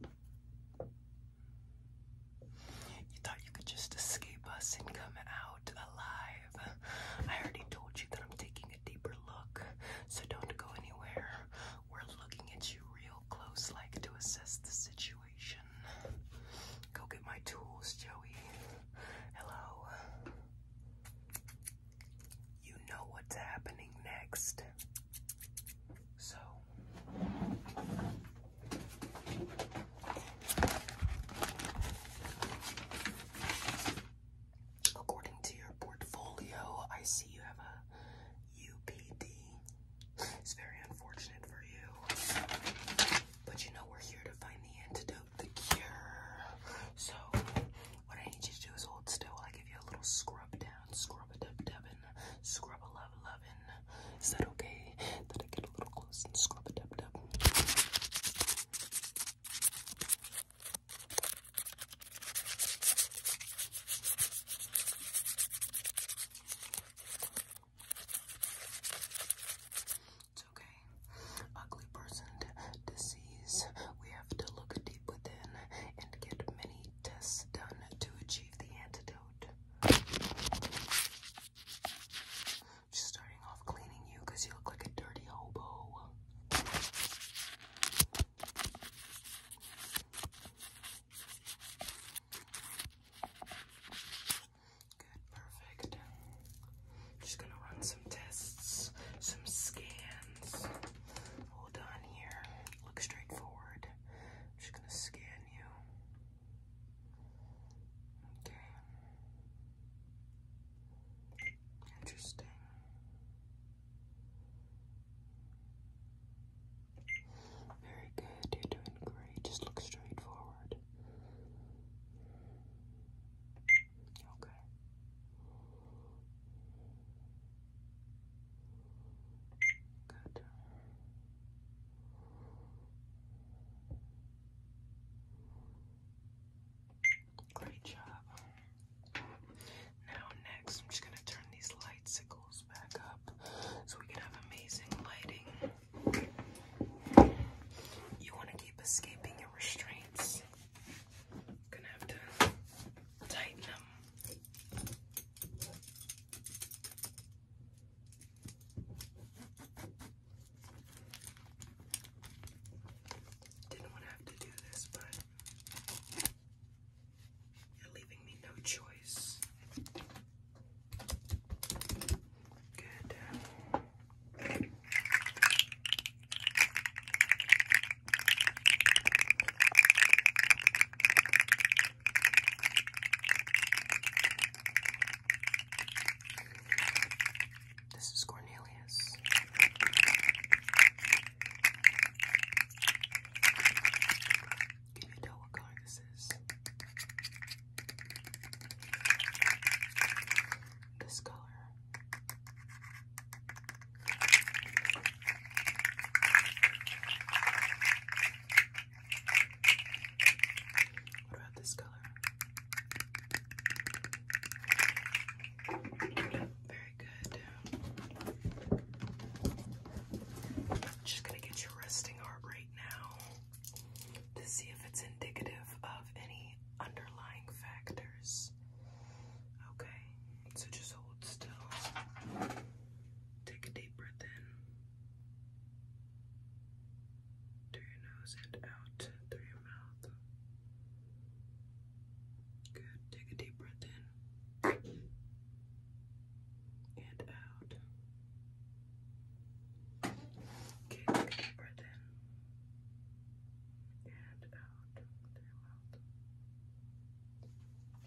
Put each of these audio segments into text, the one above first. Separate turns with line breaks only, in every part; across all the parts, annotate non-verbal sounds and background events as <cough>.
You thought you could just escape us and come out alive. I already told you that I'm taking a deeper look, so don't go anywhere. We're looking at you real close, like to assess the situation. Go get my tools, Joey. Hello. You know what's happening next. So according to your portfolio, I see you have a UPD. It's very unfortunate for you. But you know we're here to find the antidote, the cure. So what I need you to do is hold still. i give you a little scrub down down, scrub a dub dubbin, scrub a love lovin. Is that okay? That I get a little close and scrub a dub dub. It's okay. Ugly person disease. We have to look deep within and get many tests done to achieve the antidote. Just starting off cleaning you because you look like a dirty hobo. Good, perfect. Just gonna run some tests, some scans. Hold on here. Look straight forward. I'm just gonna scan you. Okay. Interesting. Very good, you're doing great. Just look straight forward. Okay. Good. Great job. Now, next, I'm just going to turn these light sickles back up so we can have amazing lighting. You want to keep escaping your restraints. Gonna have to tighten them. Didn't want to have to do this, but you're leaving me no choice. Good. This is Cornelius. Can you tell what color this is? This color. What about this color? Very good. Just gonna get your resting heart rate now to see if it's indicative of any underlying factors. Okay, so just hold still. Take a deep breath in through your nose and out through your mouth. Good. Take a deep breath in and out. Okay, deep breath in and out through your mouth.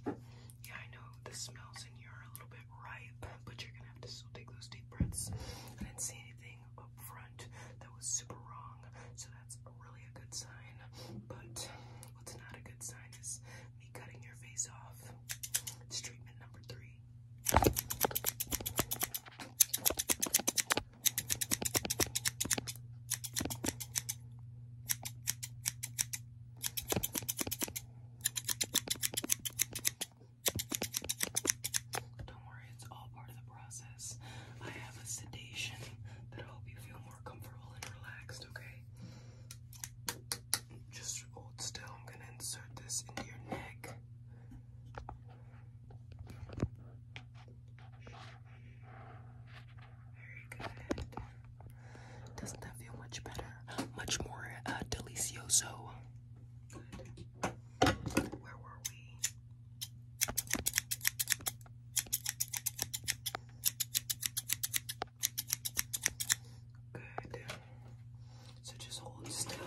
Yeah, I know the smells in here are a little bit ripe, but you're gonna have to still take those deep breaths. I didn't see anything up front that was super wrong, so that's really a good sign. But what's not a good sign is me cutting your face off. It's treatment number three. Don't worry, it's all part of the process. I have a sedation that'll help you feel more comfortable and relaxed, okay? Just hold still. I'm gonna insert this into your neck. Very good. Doesn't that feel much better? Much more uh, delicioso. Where were we? Good. So just hold still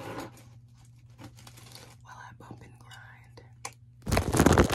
while I bump and grind.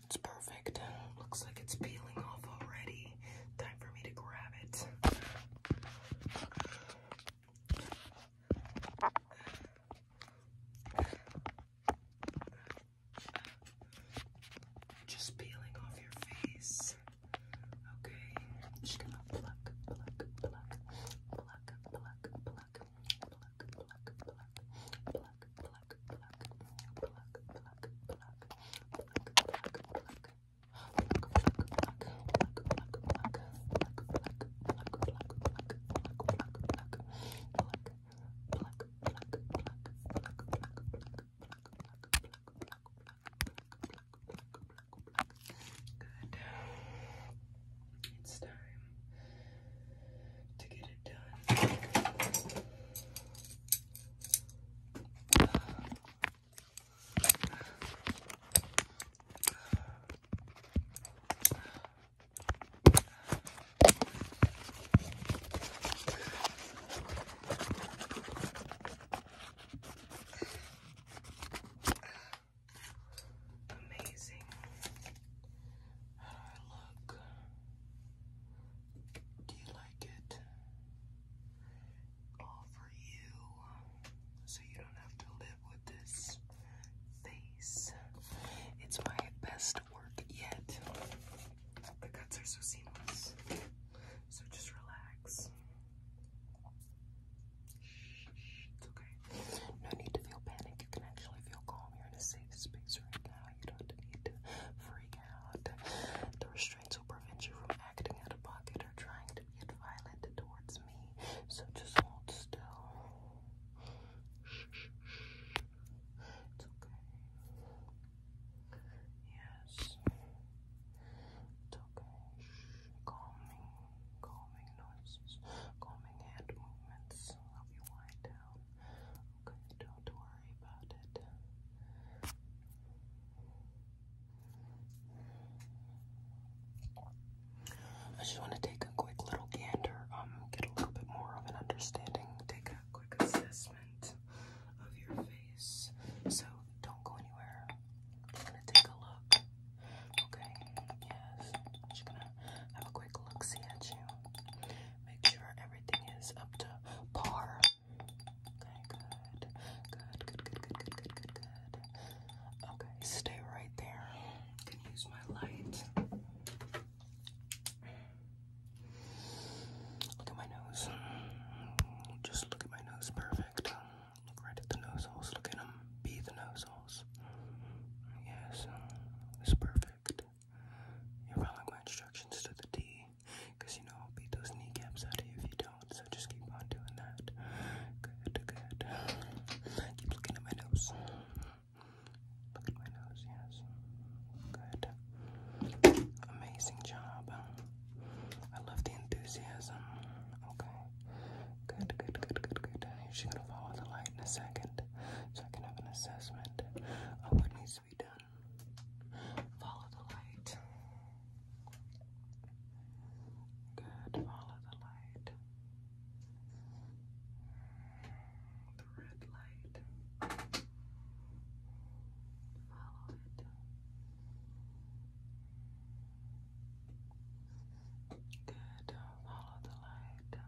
It's perfect. Looks like it's peeling off already. Time for me to grab it. Just peeling off your face. Okay. Just gonna pluck, pluck, pluck, pluck, pluck, pluck, pluck, pluck, pluck, pluck, pluck, pluck. Good. It's time to get it done. Amazing. I look? Do you like it? All for you, so you don't have to live with this face. It's my best work yet. The cuts are so seamless, so just relax. It's okay. No need to feel panic. You can actually feel calm. You're in a safe space right now. You don't need to freak out. The restraints will prevent you from acting out of pocket or trying to get violent towards me. So just hold still. It's okay. Yes. okay. Calming, calming noises, calming hand movements. Love you, wind Okay, don't worry about it. I just want to take a quick little gander, um, get a little bit more of an understanding, take a quick assessment of your face. So don't go anywhere. I'm gonna take a look. Okay, yes. just gonna have a quick look see at you. Make sure everything is up to par. Okay, good. Good, good, good, good, good, good, good, good. Okay, stay right there. can use my light. Look at my nose. Just look at my nose. Perfect. Look right at the nose holes. Look at them. Be the nose holes. Yes, it's perfect. You're following my instructions to the T, you know I'll beat those kneecaps out of you if you don't, so just keep on doing that. Good, good. Keep looking at my nose. Look at my nose, yes. Good. Amazing job. I love the enthusiasm. Okay. Good, good, good, good, good. You're just follow the light in a second so I can have an assessment of what needs to be done. Follow the light. Good, follow the light. The red light. Follow it. Good, follow the light.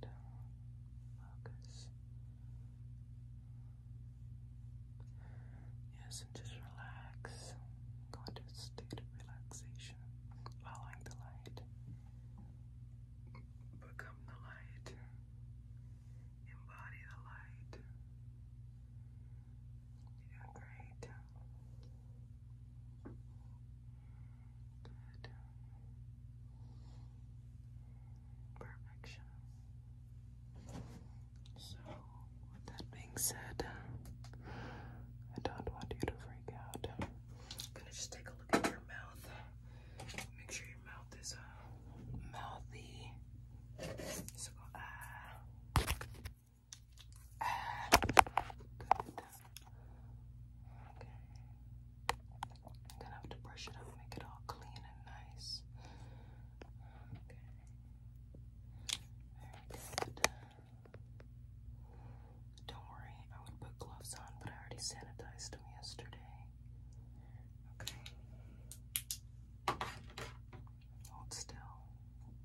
Good. Focus. Yes, and just relax. Go into state of relaxation, following the light. Become the light. Embody the light. you great. Perfection. So, with that being said, uh, I don't want you to freak out. I'm gonna just take a look at your mouth. Make sure your mouth is uh, mouthy. So uh, I'm gonna have to brush it out, make it all clean and nice. Don't worry, I would put gloves on, but I already sanitized them yesterday. Okay. Hold still.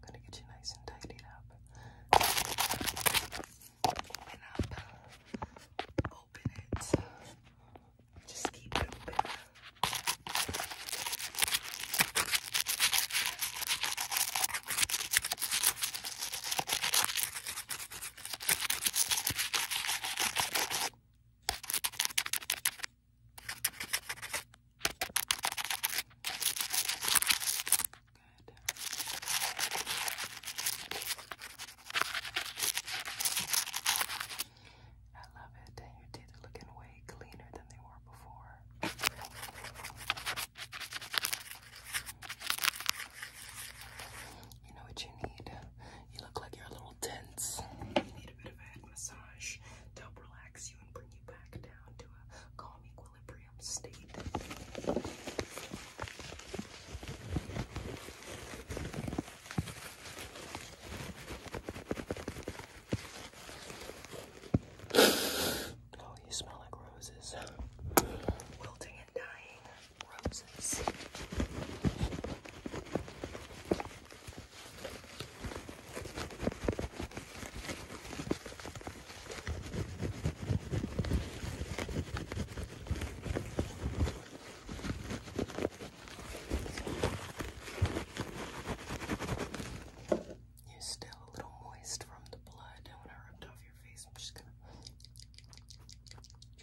gonna get you nice and tidied up open up, open it, just keep it open. I love it. Your teeth are way cleaner than they were before. You know what you need? You look like you're a little tense. You need a bit of a head massage to help relax you and bring you back down to a calm equilibrium aquarium state. oh, you smell like roses. Wilting and dying roses. You're still a little moist from the blood, and when I it off your face, I'm just gonna try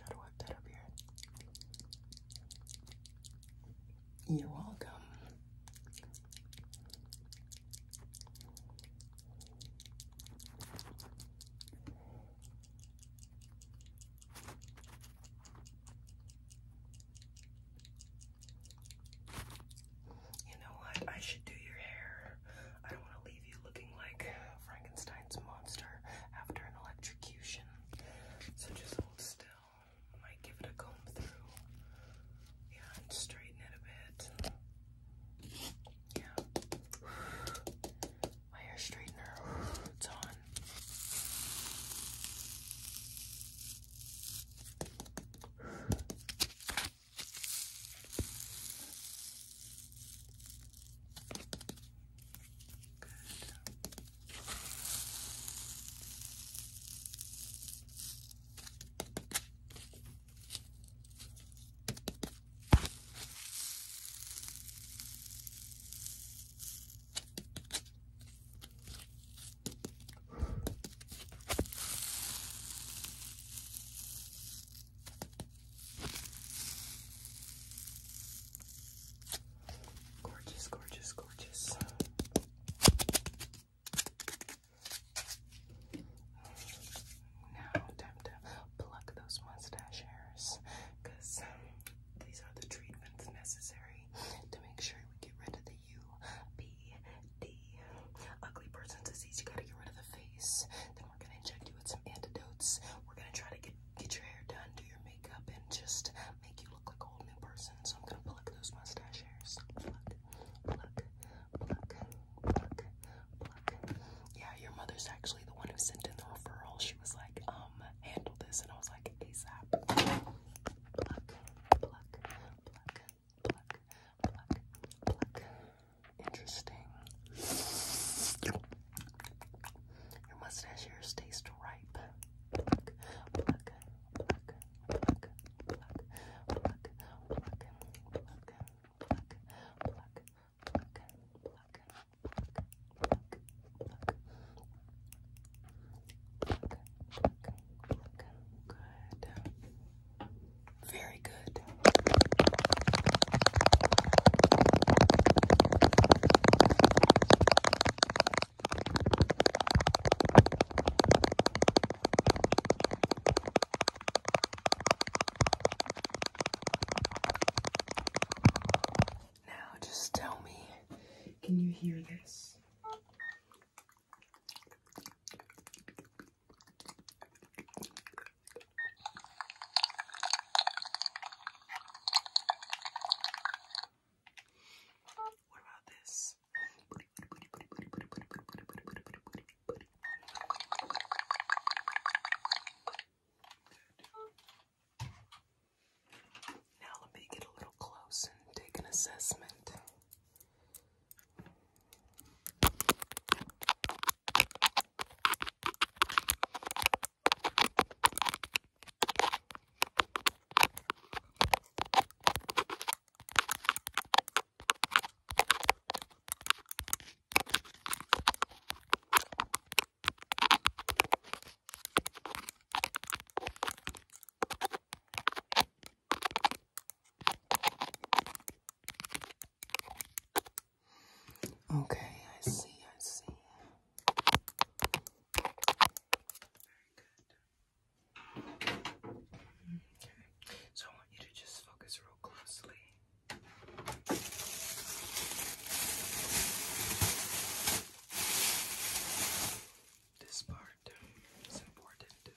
to wipe that up here. You're welcome. You know what? I should do your hair. I don't want to leave you looking like Frankenstein's monster after an electrocution. So just hold still. might give it a comb through. Yeah, and straighten it a bit. Yeah. <sighs> My hair straightener, <sighs> it's on. <sighs> Good. Gorgeous, gorgeous, gorgeous. Now, time to pluck those mustache hairs because um, these are the treatments necessary to make sure we get rid of the U, B, D. Ugly person disease, you gotta get rid of the face. Then we're gonna inject you with some antidotes. We're gonna try to get, get your hair done, do your makeup, and just make you look like a whole new person. So I'm gonna pluck those mustache hairs. Pluck, pluck, pluck. Yeah, your mother's actually the one who sent in the referral. She was like, um, handle this, and I was like, ASAP. Pluck, pluck, pluck, pluck, pluck, pluck. Interesting. Your mustache hairs taste ripe. Pluck, pluck, pluck, pluck, pluck, pluck, pluck, pluck pluck, pluck, Very good. Now, just tell me, can you hear this? What about this? Now let me get a little close and take an assessment. Okay, I see, I see. Okay. So I want you to just focus closely. This part is important.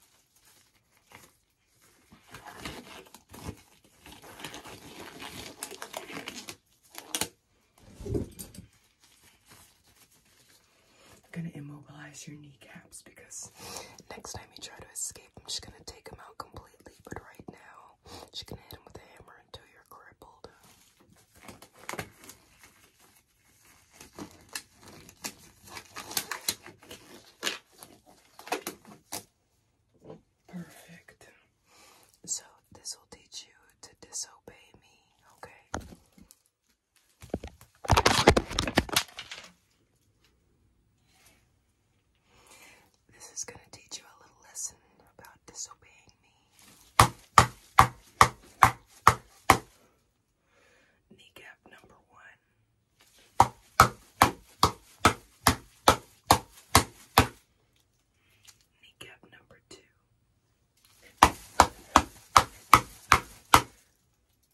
I'm going to immobilize your kneecaps because Next time you try to escape, I'm just gonna take him out completely, but right now, I'm gonna hit him with a hammer until you're crippled. Perfect. So, this will teach you to disobey me, okay? This is going to teach you a little lesson about disobeying me. Kneecap number one. Kneecap number two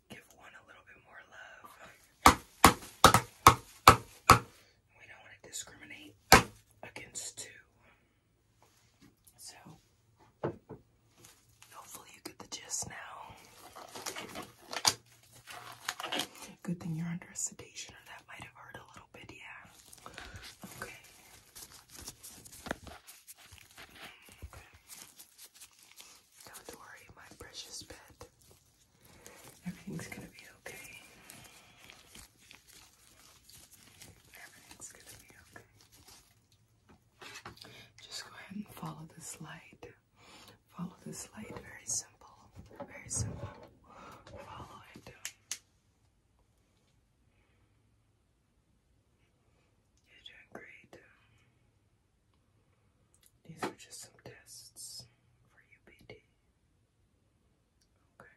give one a little bit more love. We don't want to discriminate against two. So, hopefully, you get the gist now. Good thing you're under a sedation, or that might have hurt a little bit, yeah. Okay. Okay. Don't worry, my precious pet. Everything's gonna be okay. Everything's gonna be okay. Just go ahead and follow this light. Follow this light. Very simple. Very simple. Follow it. You're doing great. These are just some tests for UPD. Okay.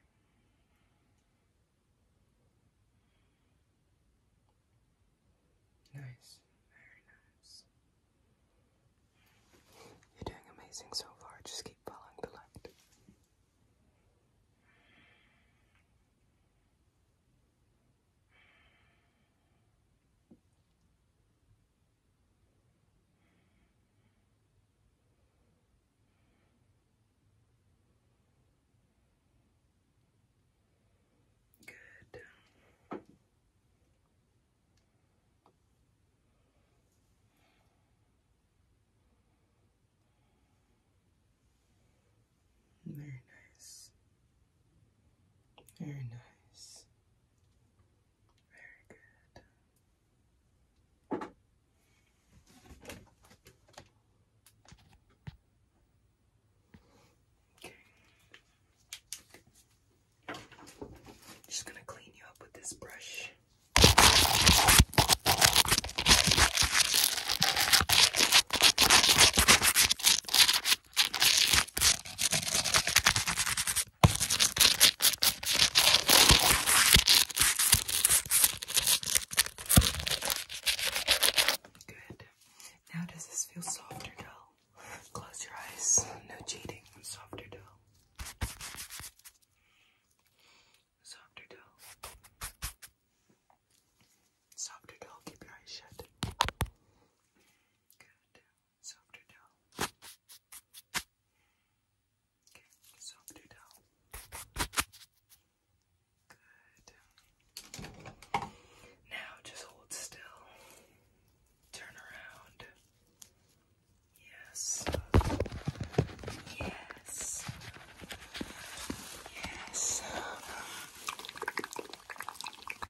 Nice, very nice. You're doing amazing so far, just keep following the light. Good. Very nice. Very nice. Very good. Just going to clean you up with this brush. Good. Now, does this feel soft or Close your eyes. No cheating. Soft or dull? Soft or dull? Keep your eyes shut. Good softer towel. Okay, softer towel. Good. Now just hold still. Turn around. Yes. Yes. Yes.